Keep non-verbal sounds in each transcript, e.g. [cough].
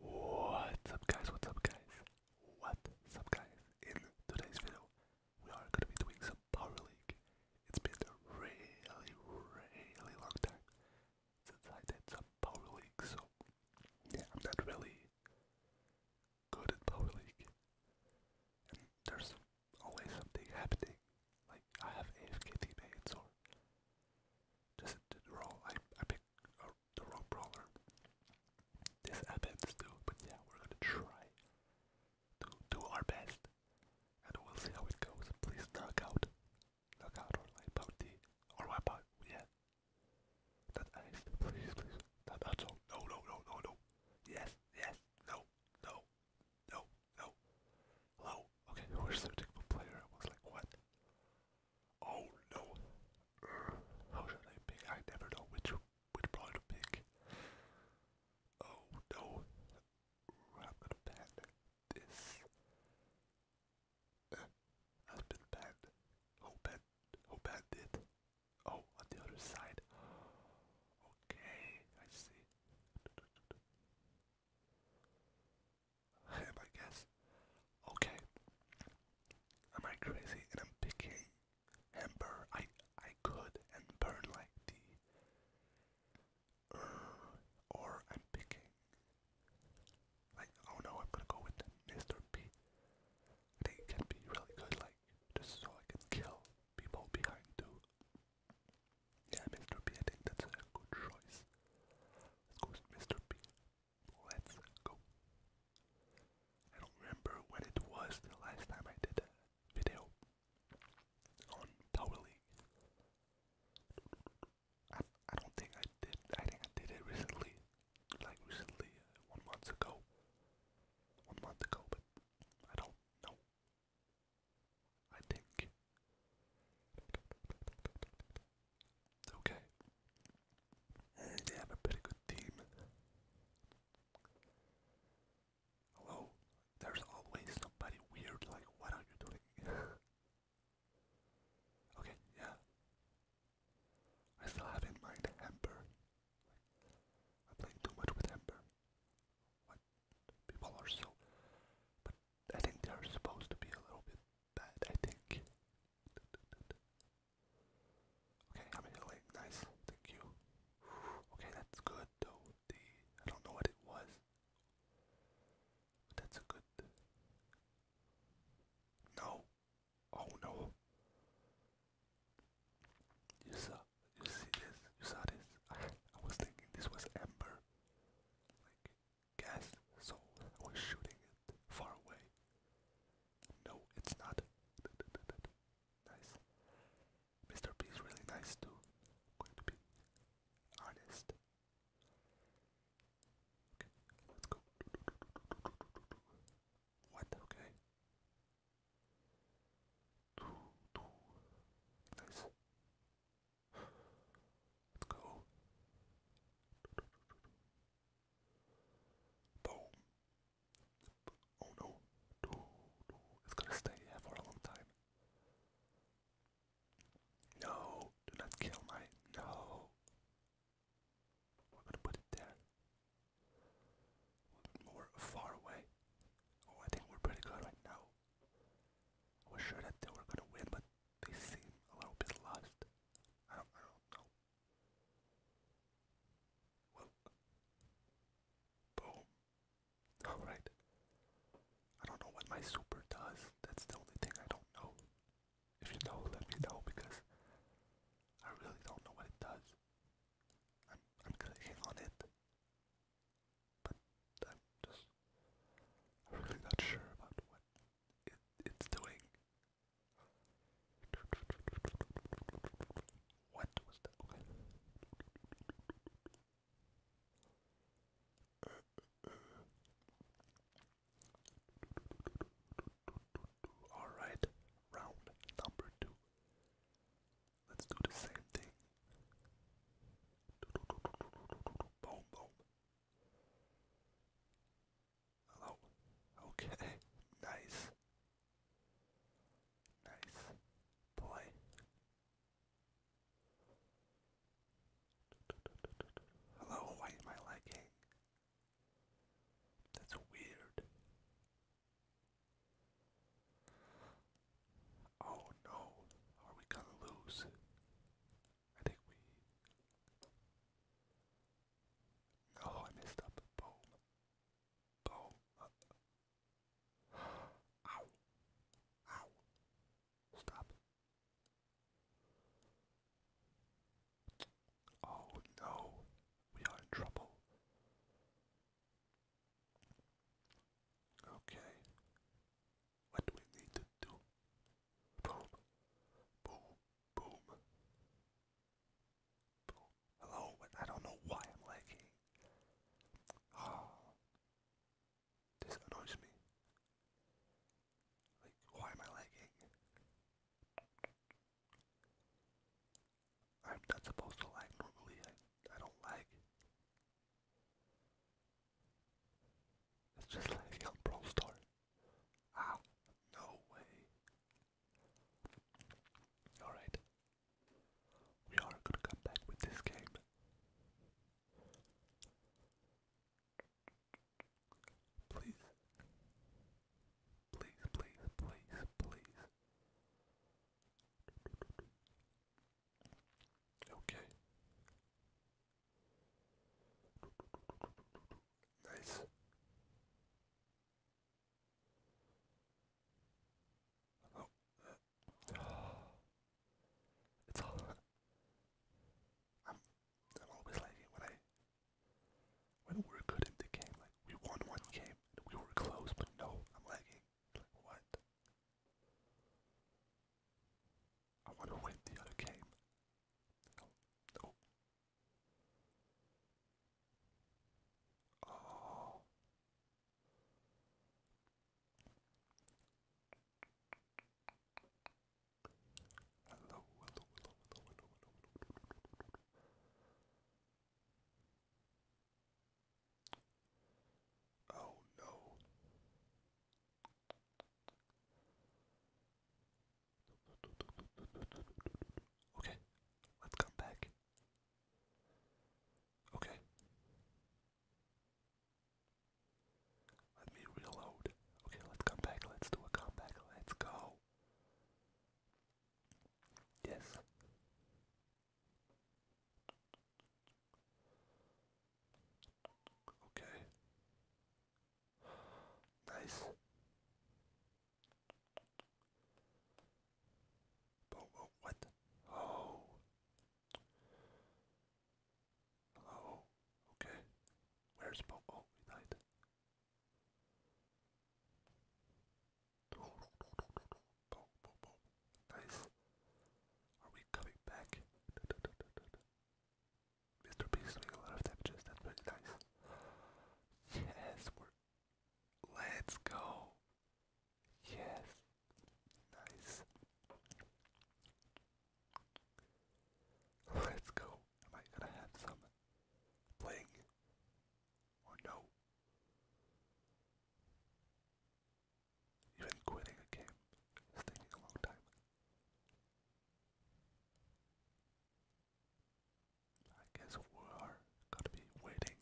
What's up guys, what's up guys, what's up guys, in today's video we are going to be doing some Power League. It's been a really, really long time since I did some Power League, so yeah, I'm not really good at Power League. there's always something happening, like I have AFK teammates or just in general, I pick the wrong brawler. This happens too, but yeah, we're gonna try to do our best, and we'll see how it goes. Please knock out, knock out or light bounty or wipe out. Yeah, not ice, please, please. Not also. No, no, no, no, no. Yes, yes. No, no, no, no. Hello. Okay, who is the particular player? I was like, what? Oh no! Uh, how should I pick? I never know which which player to pick. Oh no! I'm gonna ban this. Uh, I've been banned. Who banned? Who banned it? Oh, on the other side. Okay, I see. Him, I guess. Okay. Am I crazy? And I'm picking Ember. I I could and like the. Uh, or I'm picking. Like oh no, I'm gonna go with Mr. P. I think can be really good. Like just so I can kill people behind two yeah, Mr. P, I think that's a good choice. Let's go Mr. P. Let's go. I don't remember when it was the last time I did a video on Power League. I, I don't think I did. I think I did it recently, like recently, uh, one month ago. One month ago, but I don't know I think. Okay. They have a pretty good team. Hello? There's always somebody weird, like, what are you doing? [laughs] okay, yeah. I still have in mind Hamper. I'm too much with Hamper people are so. But I think they're supposed to be a little bit bad, I think. Okay, I'm healing. Nice. Thank you. Okay, that's good though. The I don't know what it was. that's a good. No. Oh no. You you see this? You saw this? I was thinking this was amber, like gas, so I was shooting it far away. No, it's not. Nice. Mr. B is really nice too. going to be honest. Okay, let's go. What? Okay. Nice. Let's go. Boom. Oh no. It's gonna stay here for a long time. No, do not kill my no. We're gonna put it there more far away. Oh, I think we're pretty good right now. I was sure that they were gonna win, but they seem a little bit lost. I don't know. Well, boom. All right. I don't know what my super does. That's the only thing I don't know. If you know, let me know because I really don't know what it does. I'm, clicking on it, but I'm just really not sure about what it, it's doing. What was that? All right round number two. Let's do the same thing. Boom, boom. Hello. Okay. [laughs] Nice. Nice. Boy. Hello, why am I lagging? That's weird. Oh no, are we gonna lose? I think we. No, oh, I messed up. Boom. Boom. Uh, ow. Ow. Stop. Oh no, we are in trouble. Okay, what do we need to do? Boom, boom, boom, Hello, I don't know why I'm lagging. Ah, this annoys me. Like, why am I lagging? I'm not supposed to lag normally. I, I don't lag. It's just lagging on Brawl Star. Ow. No way. Alright. We are gonna come back with this game. Please. Please, please, please, please. Okay. Nice. Oh. [gasps] It's all I'm, I'm always like when I when we're good in the game, like we won one game and we were close, but no, I'm lagging. Like what? I want to win the other game. No, no. Oh. Hello, hello, hello, hello, hello, hello. Oh no. Okay, let's come back. Okay. Let me reload. Okay, let's come back. Let's do a comeback. Let's go. Yes. Okay. Nice. Oh, what? Oh. Hello? Oh, okay. Where's Popo? Oh, he died. Nice. Are we coming back? Mr. Beast doing a lot of damages, that's pretty nice. Yes, we're... Let's go! Yes. Nice. Let's go. Am I gonna have some bling or no? Even quitting a game is taking a long time. I guess we are gonna be waiting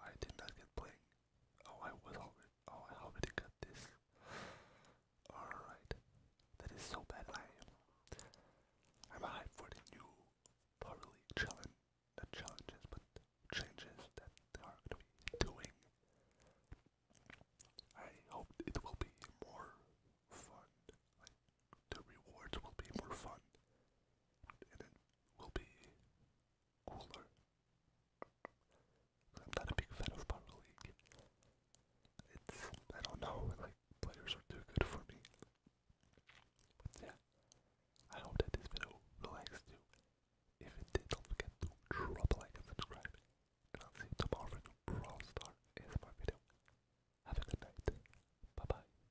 I did not get playing. Oh, I was already. Oh, I already got this. Alright. That is so bad. I am. I'm hyped for the new Power challenge. Not challenges, but changes that they are going to be doing. I hope it will be more fun. the rewards will be more fun it will be cooler. I'm not a big fan of Power League. It's, I don't know, like, players are too good for me. But yeah, I hope that this video relaxed you. If it did, don't forget to drop like and subscribe. And I'll see you tomorrow for a new Brawl Star ASMR video. Have a good night. Bye bye.